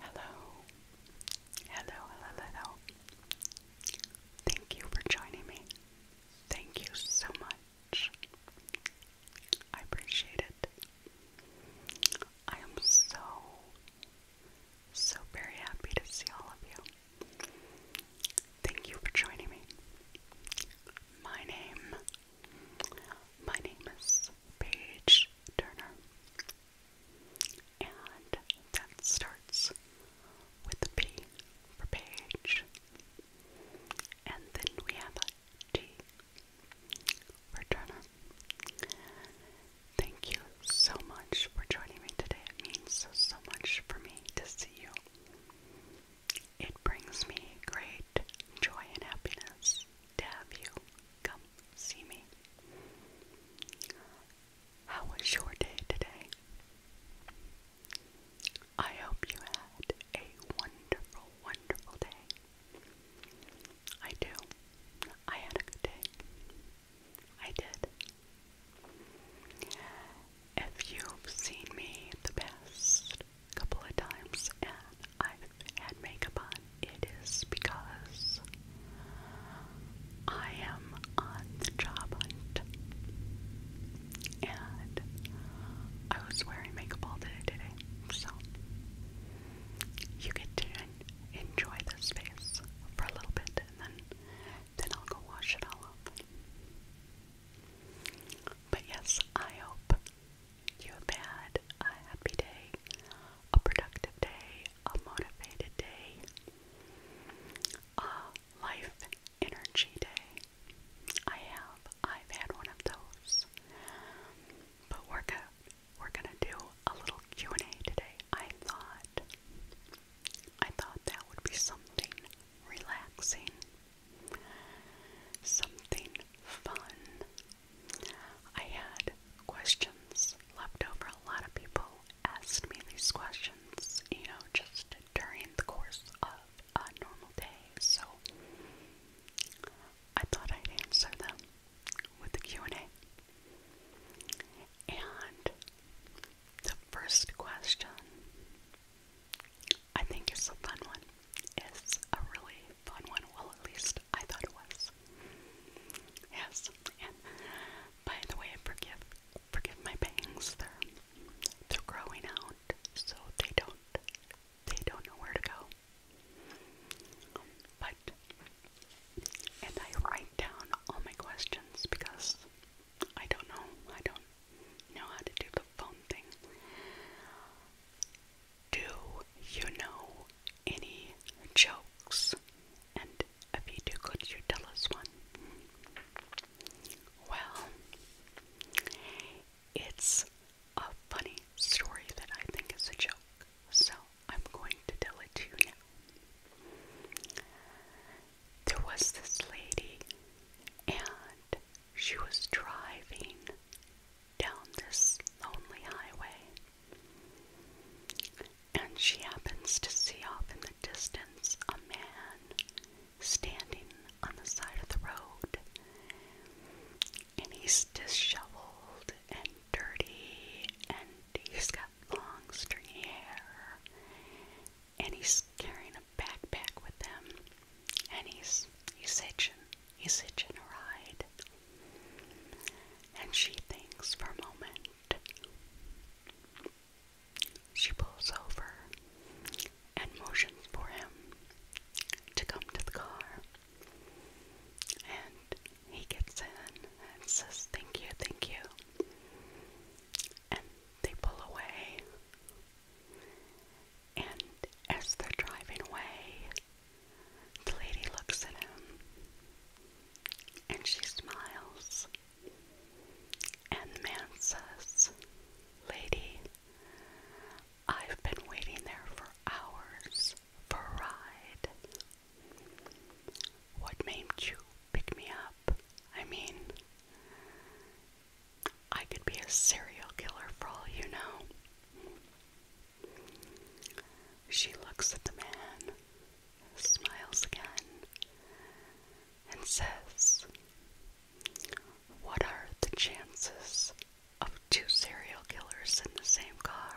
Hello. Hello, hello, hello. Thank you for joining me. Thank you so much. I appreciate it. I am so, so very happy to see all of you. Thank you for joining me. My name, my name is Page Turner. And that starts with the P for page. And then we have a T for Turner. Thank you so much for joining me today. It means so, so much for me to see you. It brings me great joy and happiness to have you come see me. How was your day today? I hope you had a wonderful, wonderful day. I do. I had a good day. I did. If you've seen me the past couple of times and i had makeup on, it is because I am on the job hunt. And I was wearing makeup all day today, so you get to enjoy this face for a little bit, and then then I'll go wash it all up. But yes, I hope you had a happy day, a productive day, a motivated day, a life energy day. I have. I've had one of those. But we're gonna we're gonna do a little Q and A today. I thought I thought that would be something relaxing, something fun, I had questions left over. A lot of people asked me these questions, you know, just during the course of a normal day. So I thought I'd answer them with the Q&A. And the first question I think is a fun one. It's a really fun one. Well, at least I thought it was. Yes, and by the way, forgive forgive my bangs. They're they're growing out, so they don't they don't know where to go. But and I write down all my questions because I don't know. I don't know how to do the phone thing. Do you know any jokes? And if you do, could you tell us one? Well, it's a funny story that I think is a joke, so I'm going to tell it to you now. There was this lady, and she was driving down this lonely highway. And she happens to see off in the distance a man standing on the side of the road. And he's disheveled and dirty, and he's got long, stringy hair, and he's carrying a backpack with him, and he's he's hitching, he's hitching a ride. And she thinks for a moment. She pulls over and motions for him to come to the car. And he gets in and says, Thank you, thank you. And they pull away. And as they're driving away, the lady looks at him and she smiles. And the man says, Lady, I've been waiting there for hours for a ride. What made you pick me up? I mean, I could be a serial killer for all you know. She looks at the man, smiles again, and says, What are the chances of two serial killers in the same car?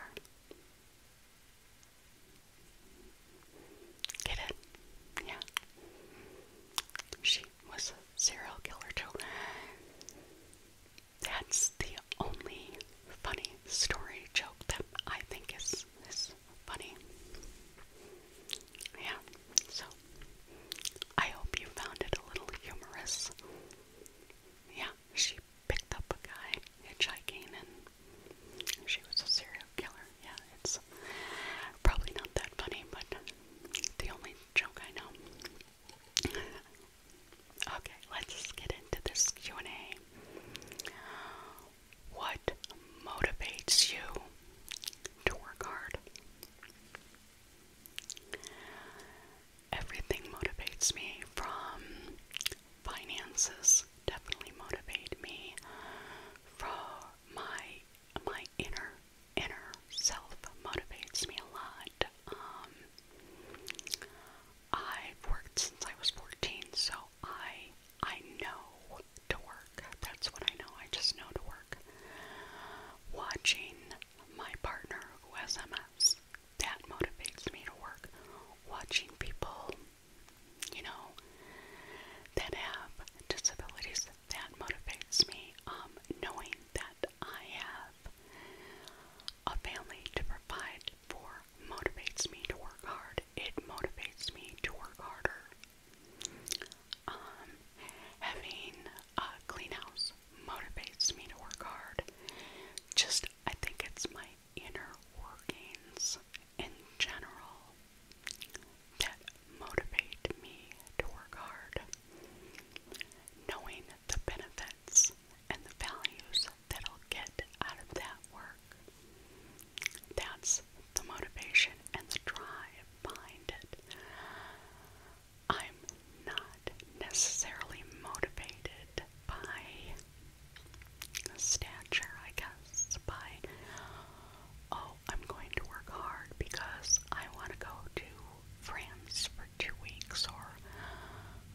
Get it? Yeah. She was a serial killer, too. That's the only funny story joke that I think is is funny. Yeah. So I hope you found it a little humorous. Yeah, she picked up a guy hitchhiking and she was a serial killer. Yeah, it's probably not that funny, but the only joke I know. Okay, let's get into this Q&A. What motivates you to work hard? Everything motivates me from finances definitely motivates me from my my inner inner self motivates me a lot. Um, I've worked since I was 14, so I I know to work. That's what I know. I just know to work. Watching my partner who has MS, that motivates me to work. Watching people, you know, that have disabilities, that motivates me. Um, knowing that I have a family to provide for motivates me to work hard. It motivates me to work harder. Um, having a clean house motivates me to work hard. Just, I think it's my inner workings in general that motivate me to work hard. Knowing the benefits and the values that I'll get out of that work. That's the motivation and the drive behind it. I'm not necessarily motivated by stature, I guess, by, oh, I'm going to work hard because I want to go to France for two weeks or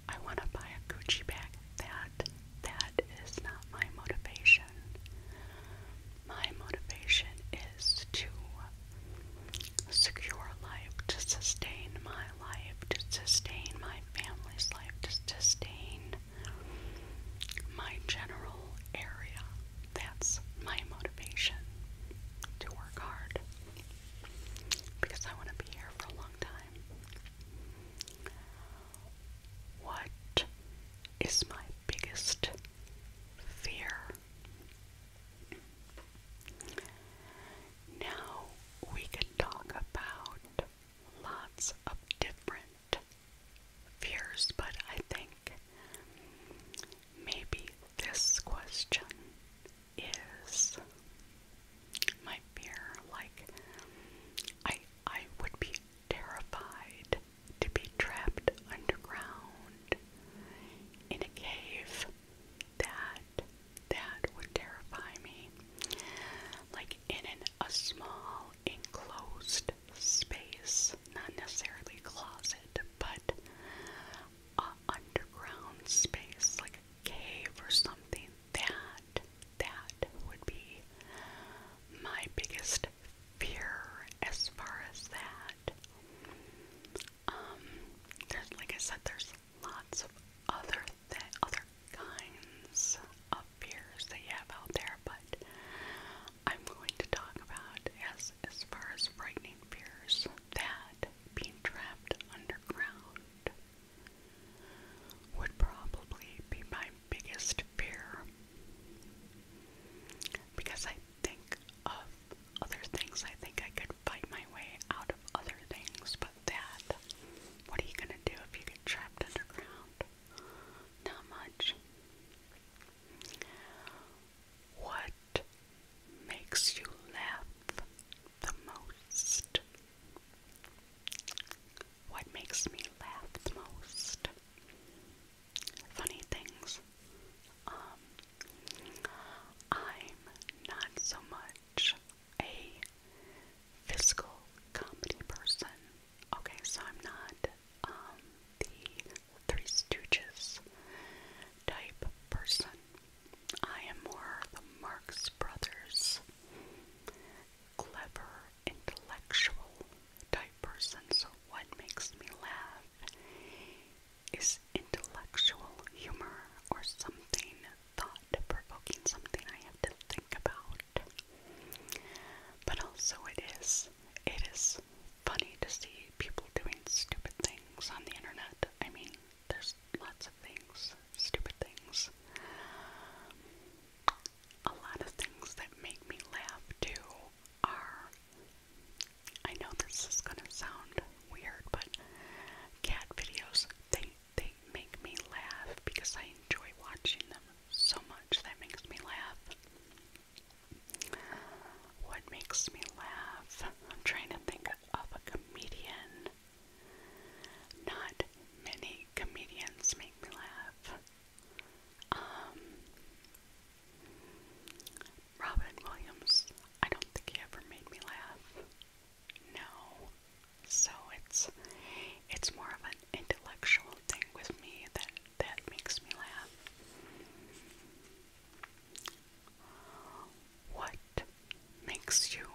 I want to buy a Gucci bag. That that is not my motivation. My motivation is to secure life, to sustain my life, to sustain my family's life, to sustain my general area. That's my motivation to work hard because I want to be here for a long time. What is my biggest fear? Now we can talk about lots of different fears, but I think maybe this question is my fear. Like, I I would be terrified to be trapped underground in a cave. That that would terrify me. Like in a small enclosed space, not necessarily a closet, but a underground space like a cave or something that that would be my biggest fear as far as that. Um, there's like I said, there's lots of other th other kinds of fears that you have out there, but I'm going to talk about as as far as frightening fears that being trapped underground would probably be my biggest fear because I think of other things. I think I could fight my way out of other things, but that, what are you going to do if you get trapped underground? Not much. What makes you laugh the most? What makes me laugh the most? Funny things. Um, I'm not so much a physical comedy person. Okay, so I'm not um, the Three Stooges type person. I am more the Marx Brothers clever, intellectual type person. So, what makes me laugh is intellectual humor or something thought provoking, something I have to think about. But also, it is it is funny to see people doing stupid things on the internet. I mean, there's lots of things, stupid things a lot of things that make me laugh too are I know this is gonna sound weird, but cat videos they they make me laugh because I enjoy watching them so much that makes me laugh. What makes me laugh? I'm trying to think of a comedian. Not many comedians make me laugh. Um, Robin Williams, I don't think he ever made me laugh. No. So it's it's more of an intellectual thing with me that that makes me laugh. What makes you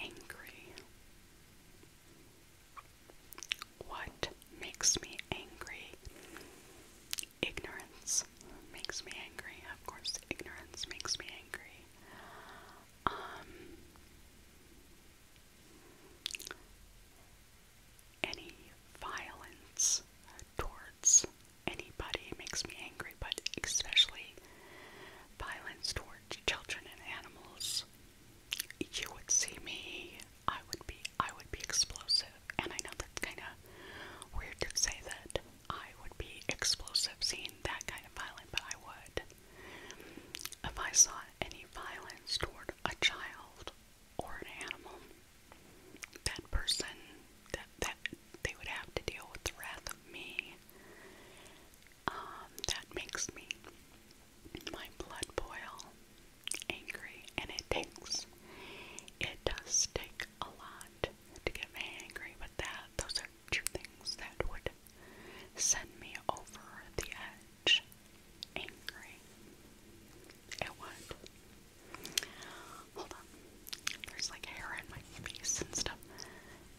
angry? What makes me angry? Ignorance makes me angry. Of course, ignorance makes me angry. Um, any violence towards anybody makes me angry, but especially violence towards children and animals you would see me, I would be I would be explosive. And I know that's kinda weird to say that I would be explosive seeing that kind of violence, but I would. If I saw any violence toward a child or an animal, that person that that they would have to deal with the wrath of me. Um, that makes me my blood boil angry, and it takes, it does take a lot to get me angry, but that, those are two things that would send me over the edge angry. It would. Hold on. There's like hair in my face and stuff.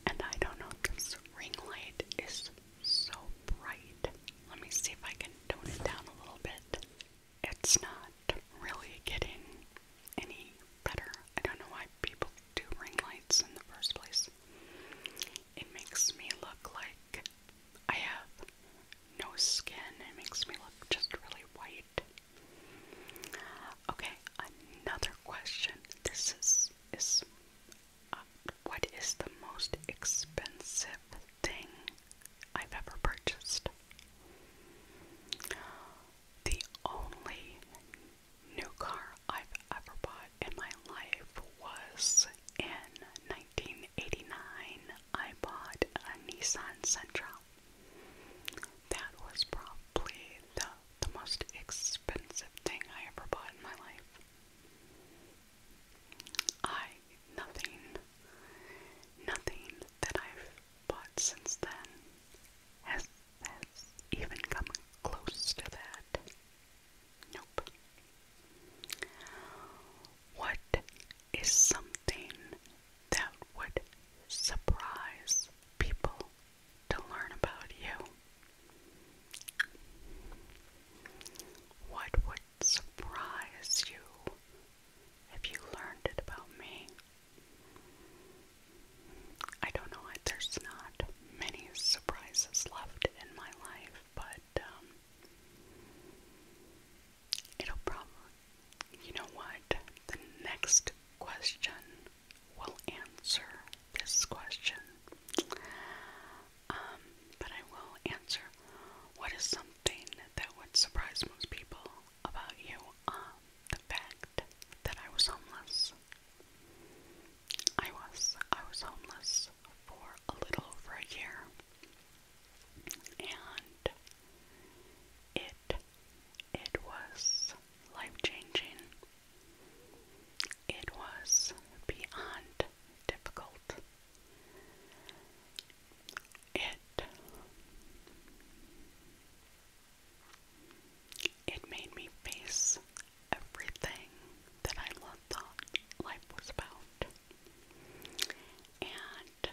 And I don't know if this ring light is so bright. Let me see if I can tone it down a little bit. It's not really getting any better. I don't know why people do ring lights in the first place. It makes me look like I have no skin. It makes me look just really white. Okay, another question. This is is what is the most expensive thing I've ever purchased? The only new car I've ever bought in my life was in 1989. I bought a Nissan Sentra. That was probably the, the most expensive thing I ever bought in my life. I nothing nothing that I've bought since then has has even come close to that. Nope. What is something that would surprise people to learn about you? What surprise you if you learned it about me. I don't know, there's not many surprises left in my life, but um, it'll probably, you know what, the next question will answer this question. Um, but I will answer what is something that would surprise most people about you? Um, the fact that I was homeless. I was. I was homeless for a little over a year. And it it was life changing. It was beyond difficult. It it made me face everything that I thought life was about. And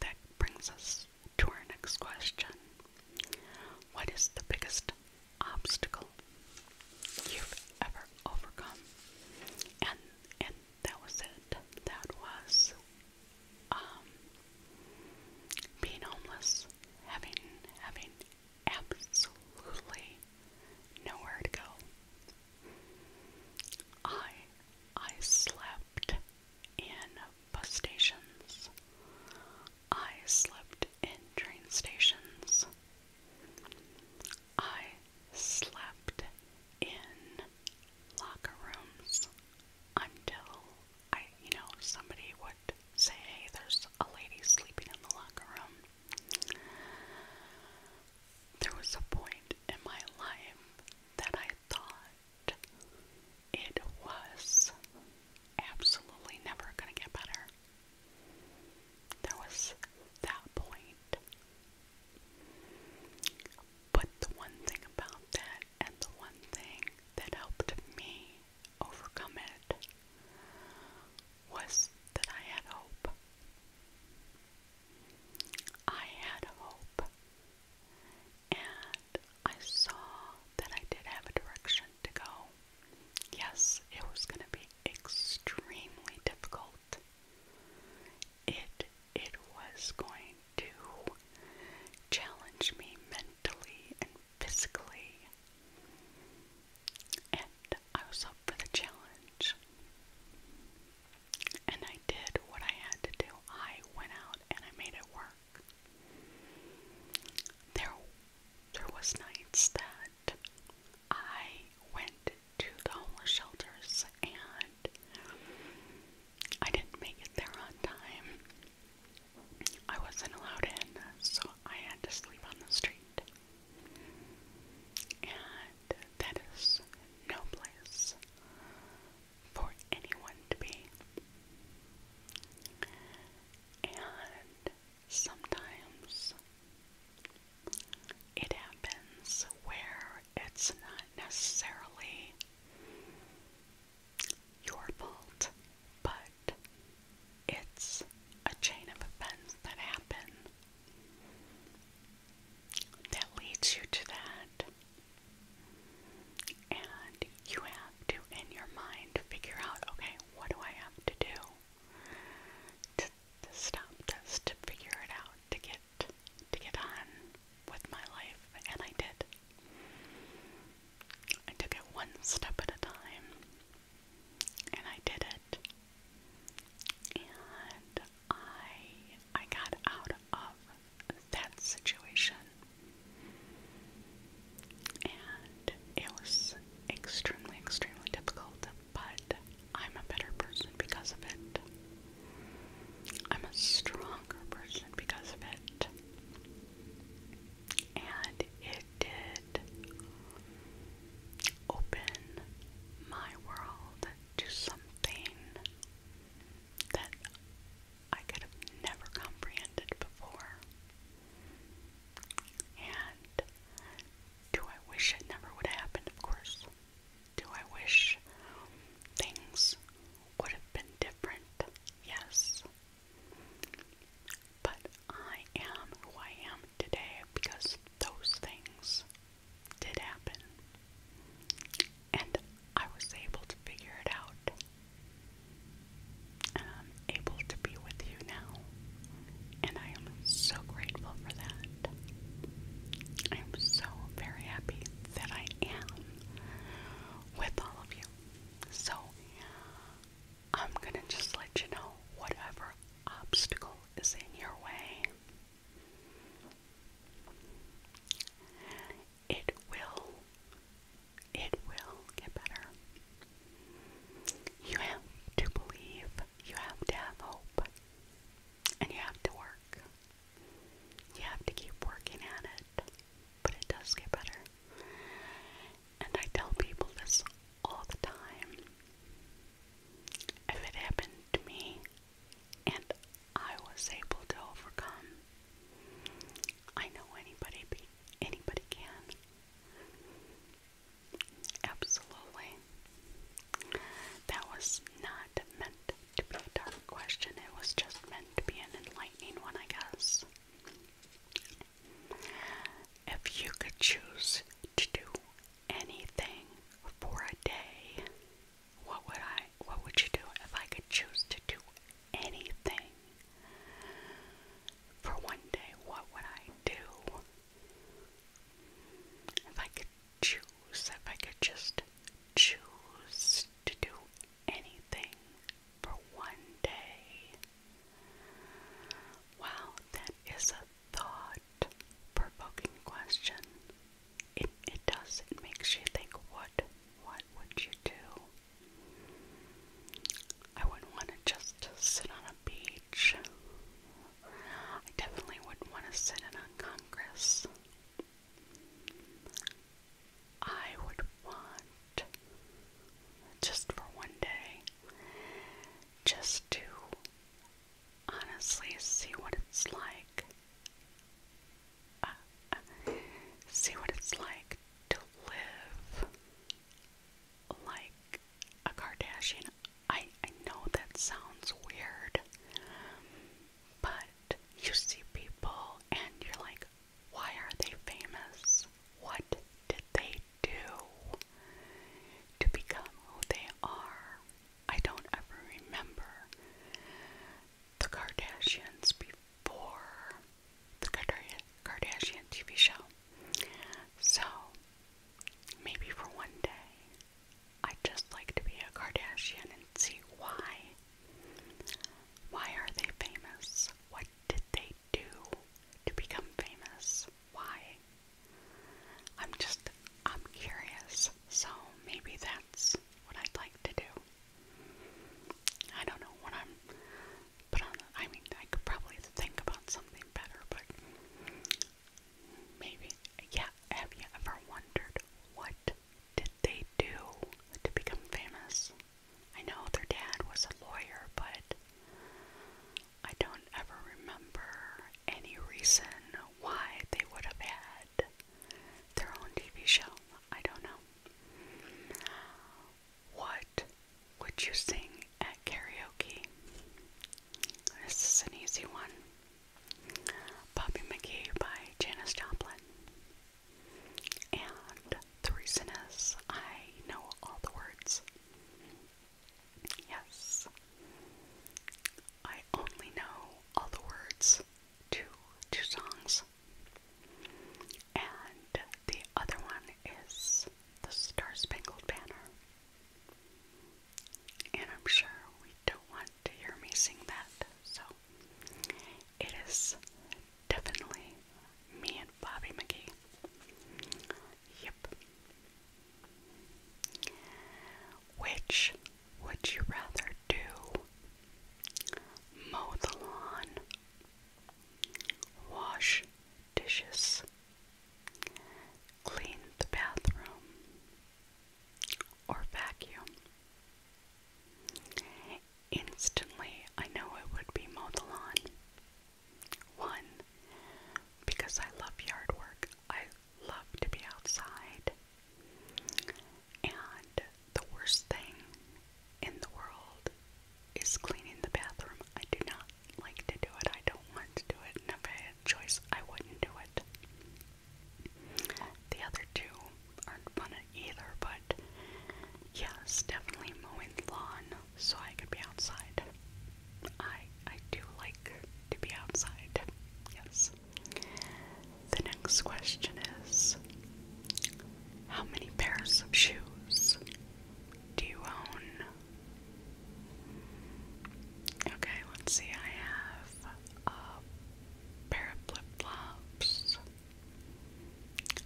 that brings us to our next question. What is the biggest obstacle you've ever overcome? that was it. That was um being homeless, having having absolutely nowhere to go. I I slept in bus stations. I slept in train stations. I slept in locker rooms until I, you know, somebody would say, there's a lady sleeping in the locker room. There was a point in my life that I thought it was absolutely never going to get better. There was that point but the one thing about that, and the one thing that helped me overcome it, was that I had hope. I had hope, and I saw that I did have a direction to go. Yes, it was going to be extremely difficult it it was going to challenge me mentally and physically. And I was up for the challenge. And I did what I had to do. I went out and I made it work. There there was nights that I went to the homeless shelters, and I didn't make it there on time. I wasn't allowed in, so I had to sleep on the street. And that is no place for anyone to be. And sometimes it happens where it's not necessarily your fault, but it's a chain of events that happen that leads you to that. And you have to, in your mind, figure out okay, what do I have to do to, stop this, to figure it out, to get to get on with my life, and I did. I took it one step at a time, and I did it. And I I got out of that situation, and it was extremely, extremely difficult, but I'm a better person because of it. I'm a stronger person because of it. And it did open my world to something that I could have never comprehended before. And do I wish it never would have happened? Of course. Do I wish things would have been different? Yes. But I am who I am today because those things did happen. And I was able to figure it out. And I'm able to be with you now. And I am so grateful for that. I am so very happy that I am with all of you. So I'm gonna just let you know whatever obstacle is in your way. It will, it will get better. You have to believe, you have to have hope, and you have to work. You have to keep working at it, but it does get better. And I tell people this all the time. If it happened to me and I was able to overcome, I know anybody anybody can. Absolutely. That was not meant to be a dark question. It was just meant to be an enlightening one, I guess. If you could choose to do anything for a day, what would I what would you do if I could choose to do anything for one day? What would I do? If I could choose, if I could just choose to do anything for one day. Wow, that is a thought provoking question. It, it does, it makes you think what what would you do? I wouldn't want to just sit on a beach. I definitely wouldn't want to sit in Congress. I would want just for one day just to honestly see what it's like. Uh, see what it's like to live like a Kardashian. I I know that sounds weird. But you see people and you're like, why are they famous? What did they do to become who they are? I don't ever remember the Kardashians before the Kardashian TV show. So maybe for one day I'd just like to be a Kardashian and see why. Why are they famous? What did they do to become famous? Why? I'm just, I'm curious. So maybe that's what I'd like to do. I don't know what I'm, but I mean, I could probably think about something better, but maybe, yeah, have you ever wondered what did they do to become famous? I know their dad was a lawyer, but I don't ever remember any reason why they would have had their own TV show. I don't know. What would you sing at karaoke? This is an easy one. Bobby McGee by Janis Joplin. And the reason is I know all the words. Yes, I only know all the words to two songs. And the other one is The Star Spangled Banner. And I'm sure we don't want to hear me sing that. So it is definitely me and Bobby McGee. Yep. Which would you rather do? Mow the lawn, wash dishes, clean the bathroom, or vacuum. Instantly, I know it would be mow the lawn. One, because I love yard work, I love to be outside. And the worst thing in the world is cleaning the bathroom. I do not like to do it. I don't want to do it. And if I had a choice, I wouldn't do it. The other two aren't fun either, but yes, definitely mowing the lawn so I could be outside. I I do like to be outside. Yes. The next question is how many pairs of shoes do you own? Okay, let's see. I have a pair of flip flops,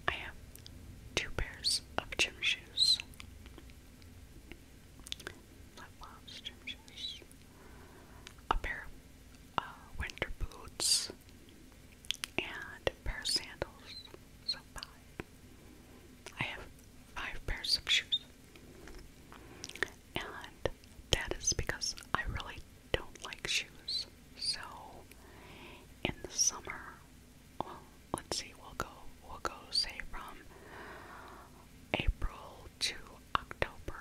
I have two pairs of gym shoes. Love loves gym shoes. A pair of uh, winter boots and a pair of sandals. So five. I have five pairs of shoes. And that is because I really don't like shoes. So in the summer, well, let's see, we'll go we'll go say from April to October.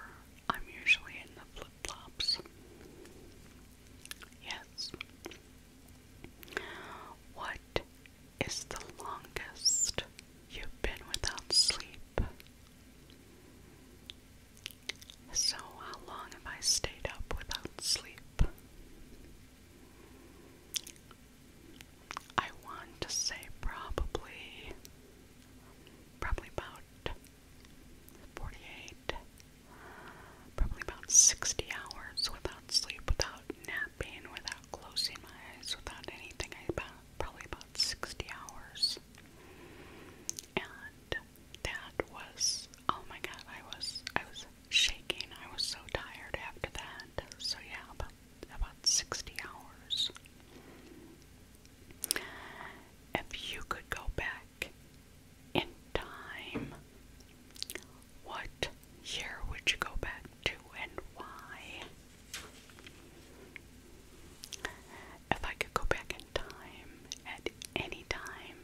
I'm usually in the flip flops. Yes. What is the longest you've been without sleep? So, how long have I stayed up without sleep? I want to say probably, probably about 48, probably about 60 hours without sleep, without napping, without closing my eyes, without anything. I about, probably about 60 hours that was oh my god, I was I was shaking. I was so tired after that. So yeah, about 60 hours. If you could go back in time, what year would you go back to and why? if I could go back in time at any time,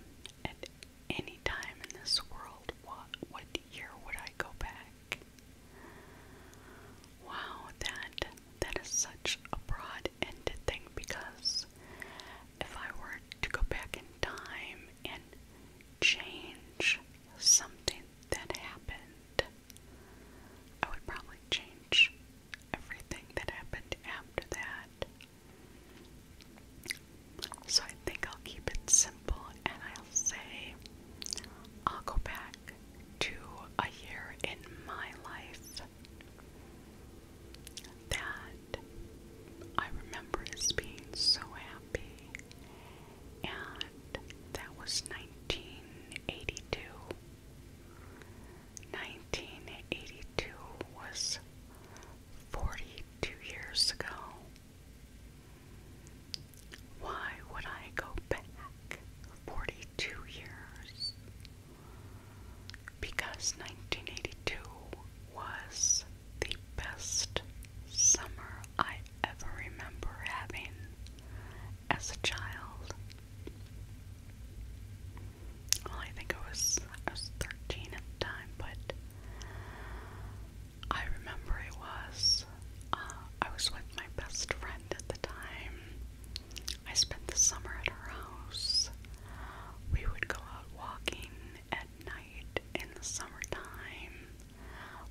at any time in this world, what what year would I go back? Wow, that that is such a broad-ended thing because if I were to go back in time and change something that happened, I would probably change everything that happened after that. So I think I'll keep it simple and I'll say I'll go back to a year in my life that I remember as being so happy, and that was 1982. 1982 was 42 years ago. Why would I go back 42 years? Because 1982 was the best summer I ever remember having as a child. Well, I think I was 13 at the time, but I remember it was uh, I was with my best friend at the time. I spent the summer at her house. We would go out walking at night in the summertime.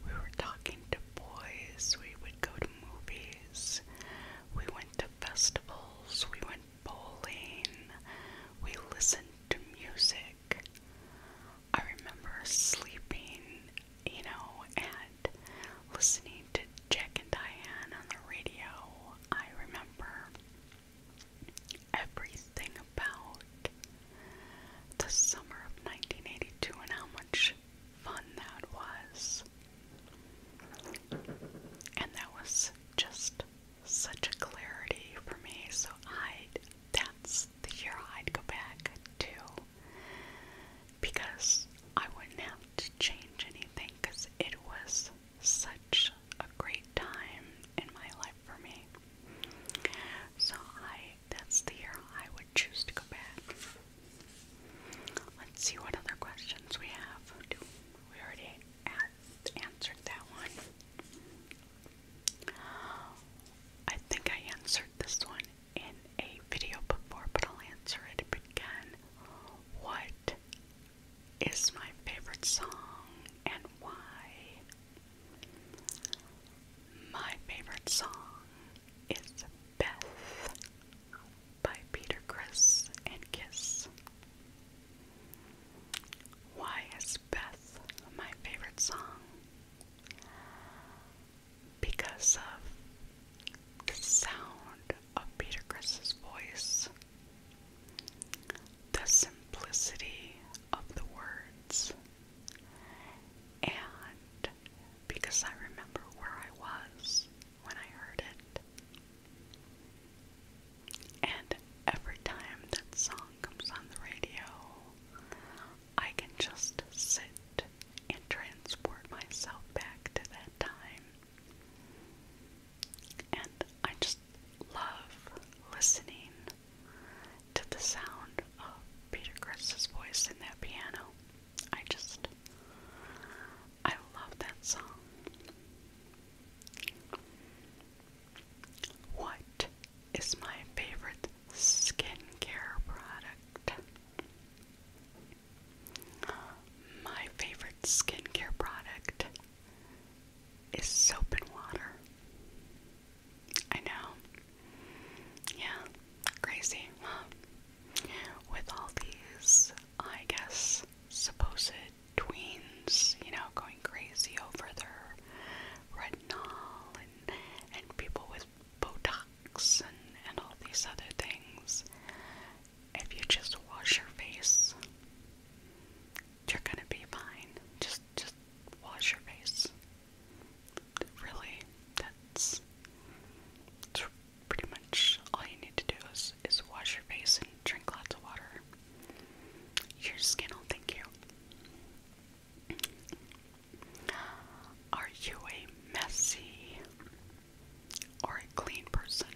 We were talking to boys. We would go to movies. We went to festivals. We went bowling. We listened to music. I remember sleeping, you know, and listening to Jack and Diane on the radio. I remember everything about the summer of 1982 and how much fun that was. And that was just such a clarity for me. So I, that's the year I'd go back to because I wouldn't have to change anything because it was such a great time in my life for me. So I, that's the year I would choose to go back. Let's see what other questions we have. We already answered that one. I think I answered this one in a video before, but I'll answer it again. What is my favorite song and why? My favorite song is Beth by Peter Criss and Kiss. Why is Beth my favorite song? Because of the sound of Peter Chris's voice, the simplicity of the words, and because I remember where I was when I heard it. And every time that song comes on the radio, I can just sit and transport myself back to that time. And I just love listening to the sound of Peter Chris's voice in that piano. I just, I love that song. What is my favorite skincare product? My favorite skincare product is soap and water. I know. Yeah, crazy, With all these, I guess, supposed tweens, you know, going crazy over their retinol and and people with Botox and, and all these other things. If you just wash your face, you're gonna be fine. Just just wash your face. Really, that's, that's pretty much all you need to do is, is wash your face and drink lots of water. Your skin will thank you. Are you a messy or a clean person?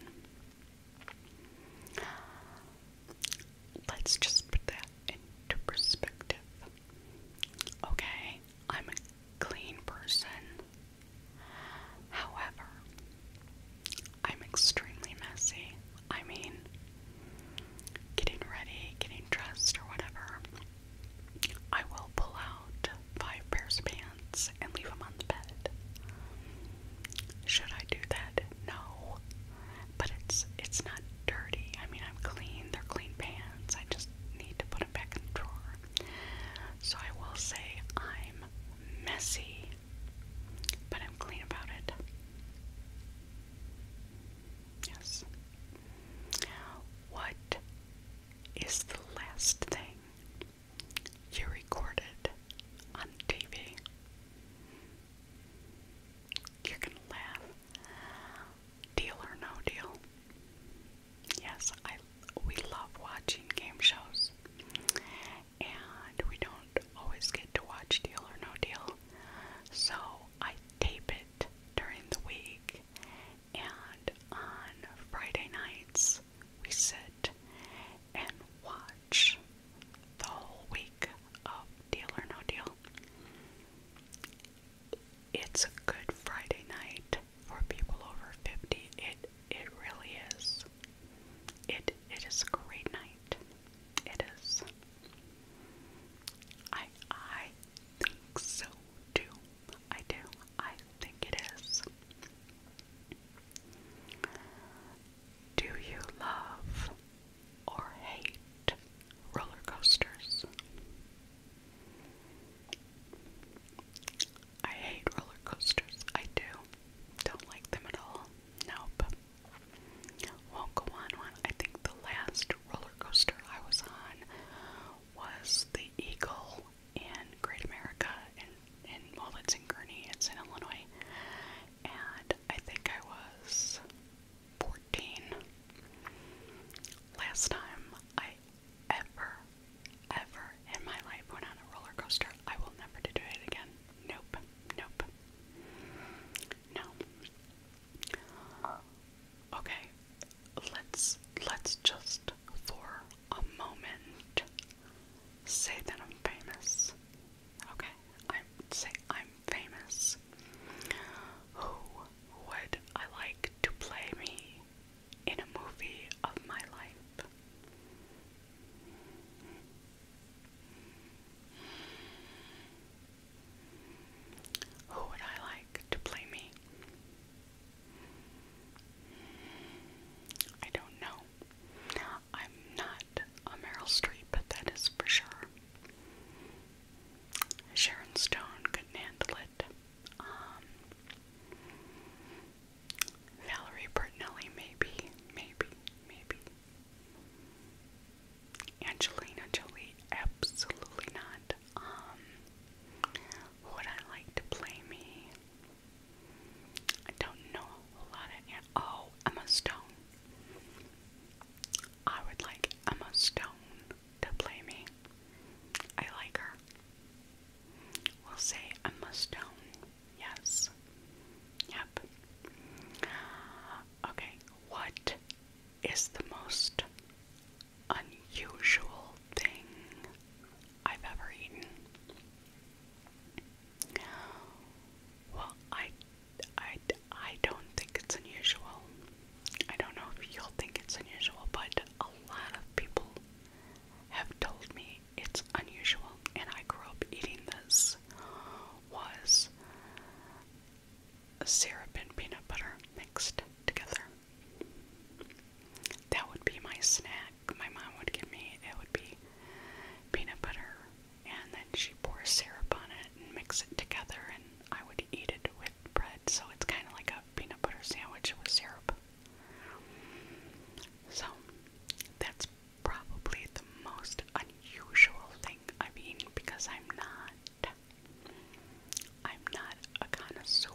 Let's just put that into perspective. Okay, I'm a clean person. However, I'm extremely messy. I mean, getting ready, getting dressed, or whatever, I will pull out five pairs of pants and leave them on the bed. Should I do that? No. But it's it's not dirty. I mean, I'm clean. They're clean pants. I just need to put them back in the drawer. So I will say I'm messy, but I'm clean about it. Yes. What is the last thing you recorded on TV? You're going to laugh. Deal or no deal? Yes, I we love watching game shows and we don't always get to watch Deal or No Deal. So I tape it during the week, and on Friday nights, we sit and watch the whole week of Deal or No Deal. It's a good Friday night for people over 50. It it really is. It it is a great night. It is. I I think so too. I do. I think it is. Do you love or hate roller coasters? I hate roller coasters. I do. Don't like them at all. Nope. Won't go on one. I think the last roller coaster I was on was the Eagle in Great America and in well it's in Gurney, it's in Illinois. And I think I was fourteen. Last time I ever, ever in my life went on a roller coaster. I will never do it again. Nope. Nope. No. Okay. Let's let's just for a moment say that I'm famous. Okay. I say I'm famous. Who would I like to play me in a movie of my life? Who would I like to play me? I don't know. I'm not a Meryl Streep, but that is for sure. Sharon Stone couldn't handle it. Um, Valerie Bertinelli, maybe, maybe, maybe. Angelina Jolie, absolutely not. Um, would I like to play me? I don't know a whole lot of. An oh, Emma Stone. I would like Emma Stone to play me. I like her. We'll say Emma Stone. Yes. Yeah. Okay, what is the most unusual thing I've ever eaten? Well, I, I, I don't think it's unusual. I don't know if you'll think it's unusual, but a lot of people have told me it's unusual, and I grew up eating this. Was syrup and peanut butter mixed together. That would be my snack. My mom would give me it would be peanut butter, and then she pours syrup on it and mix it together, and I would eat it with bread. So it's kind of like a peanut butter sandwich with syrup. So that's probably the most unusual I, mean, because I'm not, I'm not a connoisseur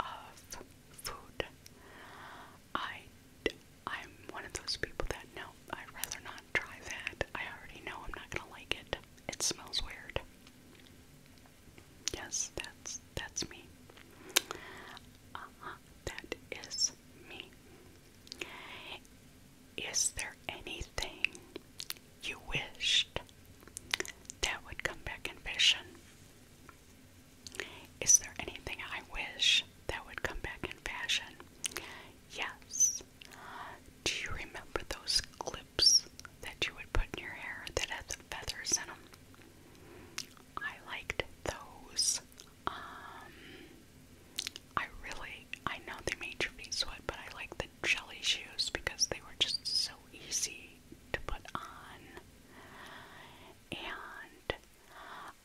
of food. I, I'm one of those people that no, I'd rather not try that. I already know I'm not gonna like it. It smells weird. Yes, that's that's me. Uh -huh, that is me. Is there anything you wished that would come back in vision? Is there anything I wish that would come back in fashion? Yes. Do you remember those clips that you would put in your hair that had feathers in them? I liked those. Um, I really, I know they made your feet sweat, but I like the jelly shoes because they were just so easy to put on. And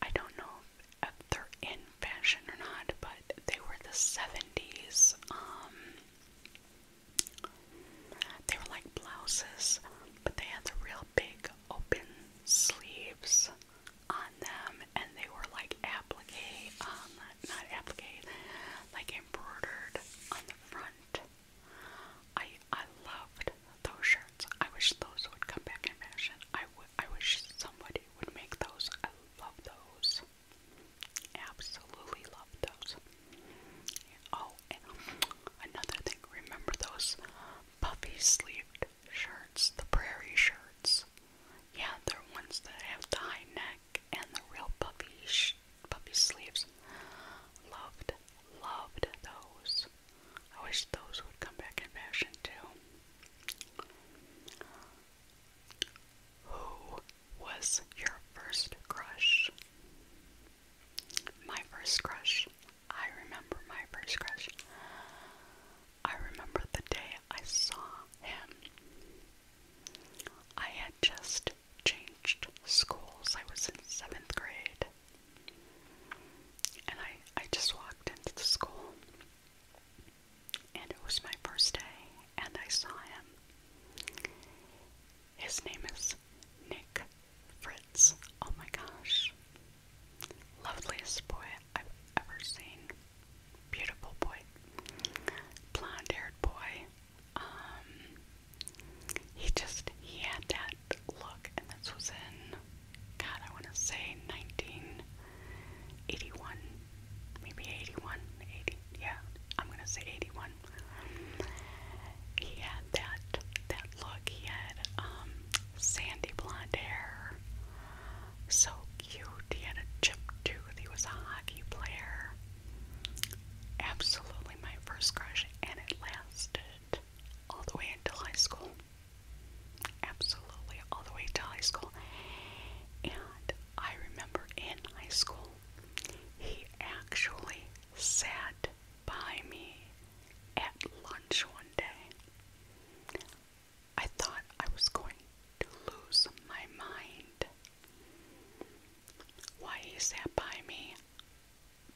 I don't know if, if they're in fashion or not, but they were the 70s. Um, they were like blouses, but they had the real big open sleeves on them, and they were like applique on um, not applique, like embroidered on the front. I I loved those shirts. I wish those would come back in fashion. I would. I wish somebody would make those. I love those. Absolutely love those. Oh, another thing. Remember those puffy sleeved shirts, the prairie shirts. Yeah, they're ones that have the high neck and the real puffy puppy sleeves. Loved, loved those. I wish those would come back in fashion too. Who was your first crush? My first crush. I remember my first crush. I remember the day I saw him. I had just changed schools. I was in seventh grade. And I, I just walked into the school. And it was my first day, and I saw him. His name is Nick Fritz. Oh my gosh. Loveliest boy I've ever seen. Beautiful boy. Blonde haired boy. Um, he just he had that look and this was in God I wanna say nineteen eighty one. Maybe 81, yeah, I'm gonna say 81. He had that that look. He had um, sandy blonde hair, so he had a chip tooth. He was a hockey player. Absolutely my first crush, and it lasted all the way until high school. Absolutely all the way to high school. And I remember in high school, he actually sat by me at lunch one day. I thought I was going to lose my mind. Why he sat by me?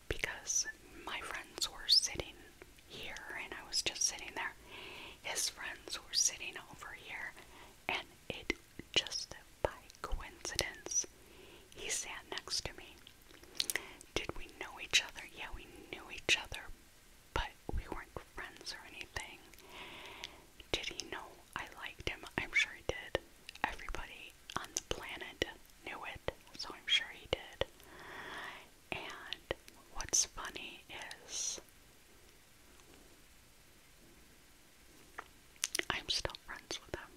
Because my friends were sitting here and I was just sitting there. His friends were sitting over here, and it just by coincidence, he sat next to me. Did we know each other? Yeah, we knew each other, but we weren't friends or anything. Did he know I liked him. I'm sure he did. Everybody on the planet knew it, so I'm sure he did. And what's funny is I'm still friends with him.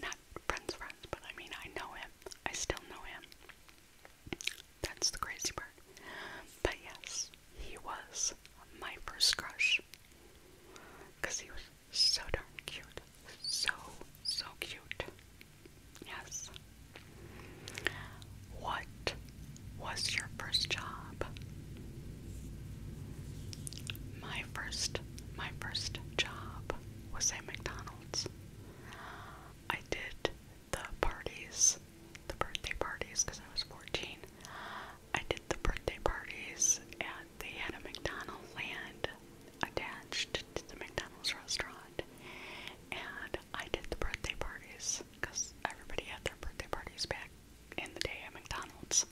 not friends, friends, but I mean, I know him. I still know him. That's the crazy part. But yes, he was my first crush. Because he was so darn cute. So, so cute. Yes. What was your first job? My first, my first job was at McDonald's. I did the parties, the birthday parties, because I was 14. I did the birthday parties, and they had a McDonald's land attached to the McDonald's restaurant. And I did the birthday parties, because everybody had their birthday parties back in the day at McDonald's.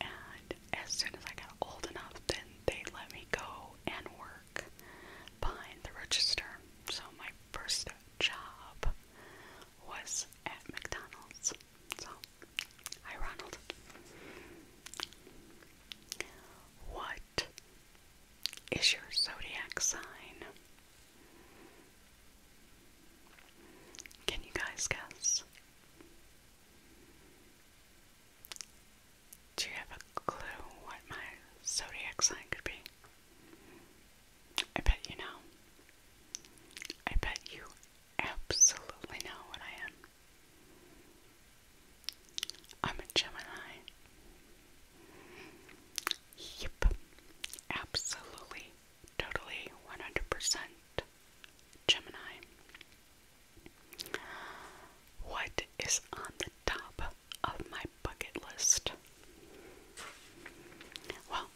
And as soon as I got old enough, then they let me go and work behind the register. So my first job was at McDonald's. hi Ronald. What is your zodiac sign? Can you guys guess? Do you have a clue what my zodiac sign could be? I bet you know. I bet you absolutely know what I am. I'm a Gemini. Yep. Absolutely, totally, 100% Gemini. What is on the top of my bucket list. Well,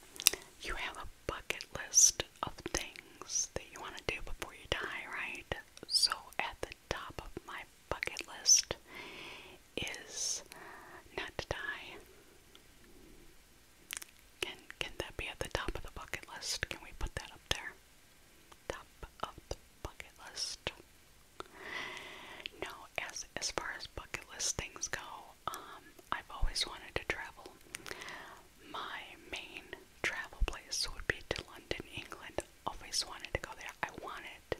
you have a bucket list of things that you want to do before you die, right? So, at the top of my bucket list is not to die. Can can that be at the top of the bucket list? Can we put that up there? Top of the bucket list. No, as as far as bucket list things go, um, I've always wanted to travel. My main travel place would be to London, England. Always wanted to go there. I wanted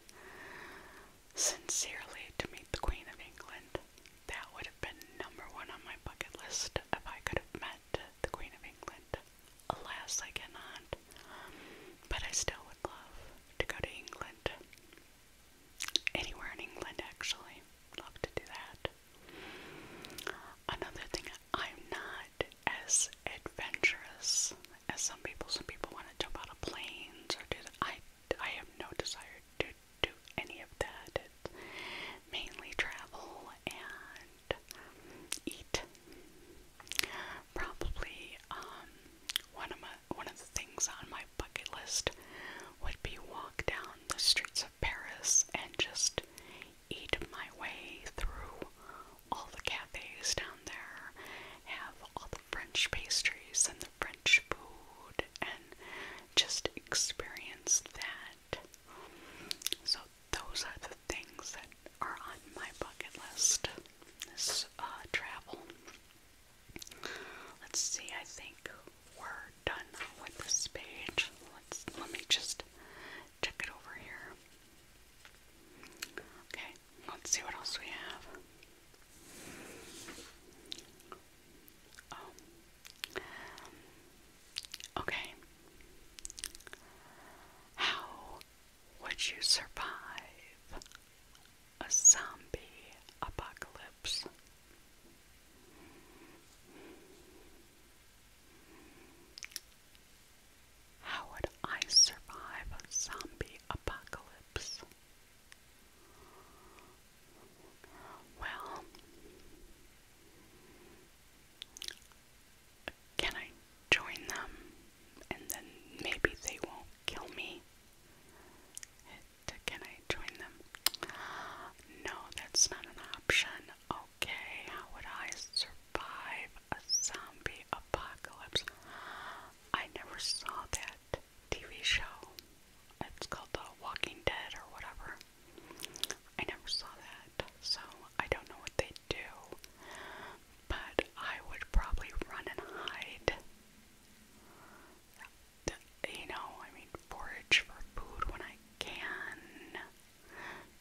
sincerely to meet the Queen of England. That would have been number one on my bucket list if I could have met the Queen of England. Alas, I cannot. But I still would love to go to England. Anywhere in England, actually. Love to do that. Another thing, I'm not as adventurous as some people. Some people want to jump out of planes or do I, I have no desire to do any of that. mainly travel and eat. Probably um, one of one of the things on my bucket list would be walk down the streets of Paris and just eat my way through all the cafes down there, have all the French pastries and the French food, and just experience that. So those are the things that are on my bucket list. This uh, travel. Let's see, I think we're done with this page. Let's let me just check it over here. Okay, let's see what else we have. Oh. Okay. How would you survive a zombie apocalypse. How would I survive a zombie apocalypse? Well, can I join them and then maybe they won't kill me. can I join them? No, that's not an option. Okay, how would I survive a zombie apocalypse? I never saw that TV show. It's called The Walking Dead or whatever. I never saw that, so I don't know what they do. But I would probably run and hide you know, I mean, forage for food when I can.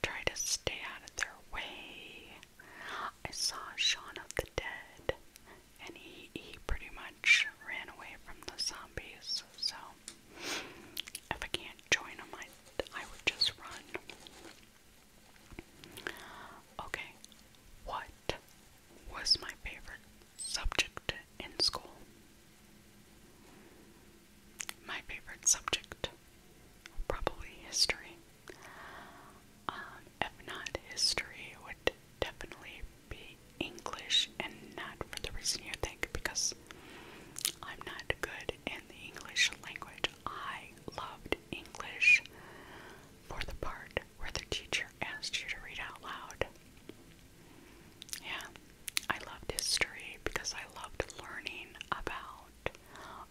Try to stay out of their way. I saw Shaun of the Dead, and he, he pretty much ran away from the zombies. So, if I can't join them, I, I would just run. Okay, what was my favorite subject in school. My favorite subject, probably history. Um, if not history, would definitely be English, and not for the reason you think, because I'm not good in the English language. I loved English for the part where the teacher asked you to read out loud. Yeah, I loved history because I loved learning about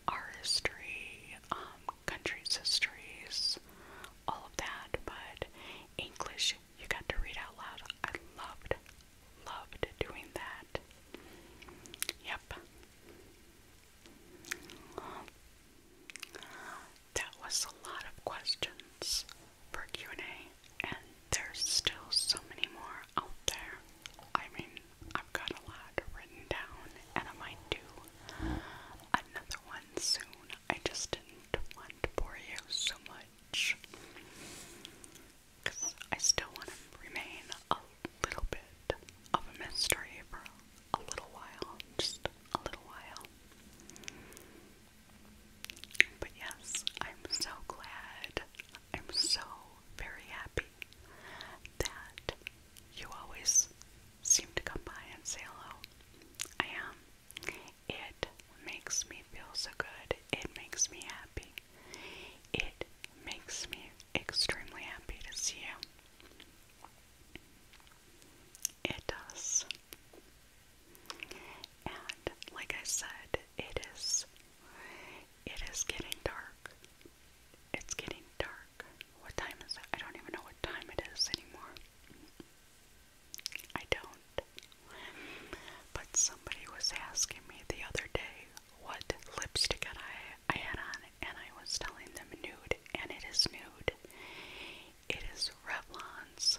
our history, um, countries' histories, all of that. But English, you got to read out loud. I loved, loved doing that. Yep that was a lot of questions for Q&A, and there's still so many more out there. I mean, I've got a lot written down, and I might do another one soon. I just didn't want to bore you so much, because I still want to remain a little bit of a mystery for a little while, just a little while. But yes, I'm so glad, I'm so very happy that you always seem to come by and say hello. I am. It makes me feel so good, it makes me happy. It makes me extremely happy to see you. It does. And like I said, it is it is getting dark. It's getting dark. What time is it? I don't even know what time it is anymore. I don't. But somebody was asking me the other day what lipstick I I had on and I was telling them nude and it is nude. It is Revlon's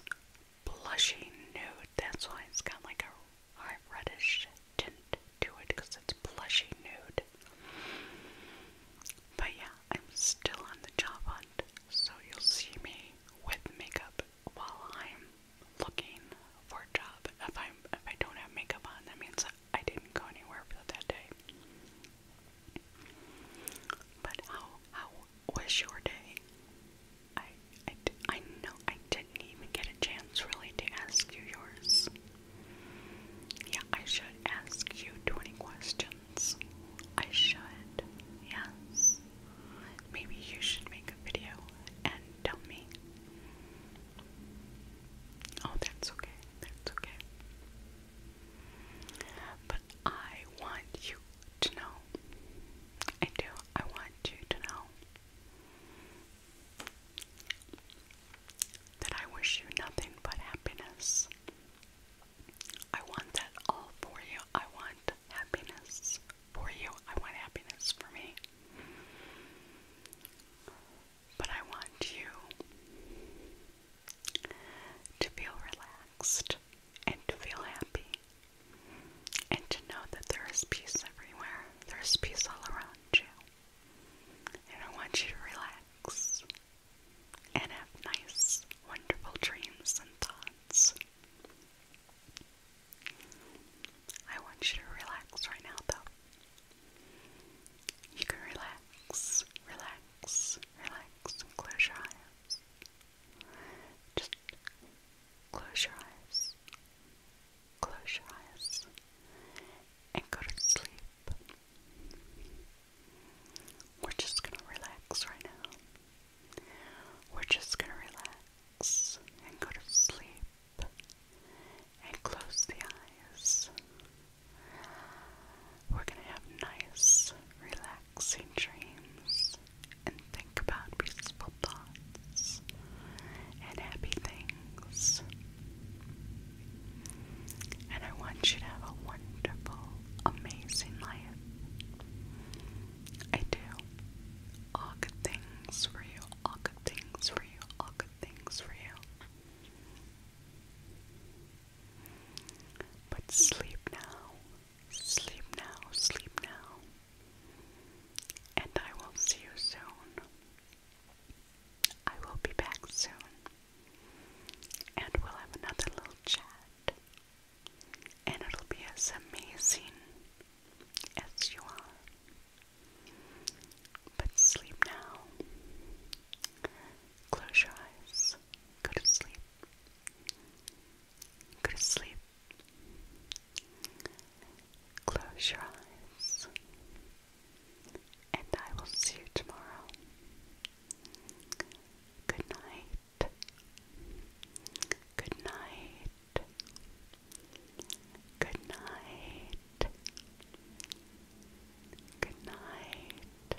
blushing nude. That's why it's got like a, a reddish tint to it because it's blushy nude. But yeah, I'm still on the job hunt, so you'll see me with makeup while I'm looking for a job. If I'm if I don't have makeup on, that means I didn't go anywhere that day. But how how was your day? I I I know I didn't even get a chance really to ask you yours. Yeah, I should ask you 20 questions. I should. Yes. Maybe you should make a video and tell me. Oh, that's okay. That's okay but I want you to know. I do. I want you to know that I wish you nothing but happiness. I want that all for you. I want happiness for you. I want happiness for me. But I want you to feel relaxed and to feel happy and to know that there is peace everywhere. There is peace all around you. And I want you to relax and have nice, wonderful dreams and thoughts. I want you to relax right now, though. You can relax, relax, relax, and close your eyes. Just close your eyes, close your eyes, and go to sleep. We're just gonna relax right now. We're just gonna relax and go to sleep and close the eyes. We're going to have nice, relaxing dreams and think about peaceful thoughts and happy things. And I want you to have a wonderful, amazing life. I do. All good things for you, all good things for you, all good things for you. But sleep now. Sleep now, sleep now, and I will see you soon. I will be back soon, and we'll have another little chat, and it'll be as amazing as you are. But sleep now. Close your eyes. Go to sleep. Go to sleep. Close your eyes, and I will see you tomorrow. Good night. Good night. Good night. Good night.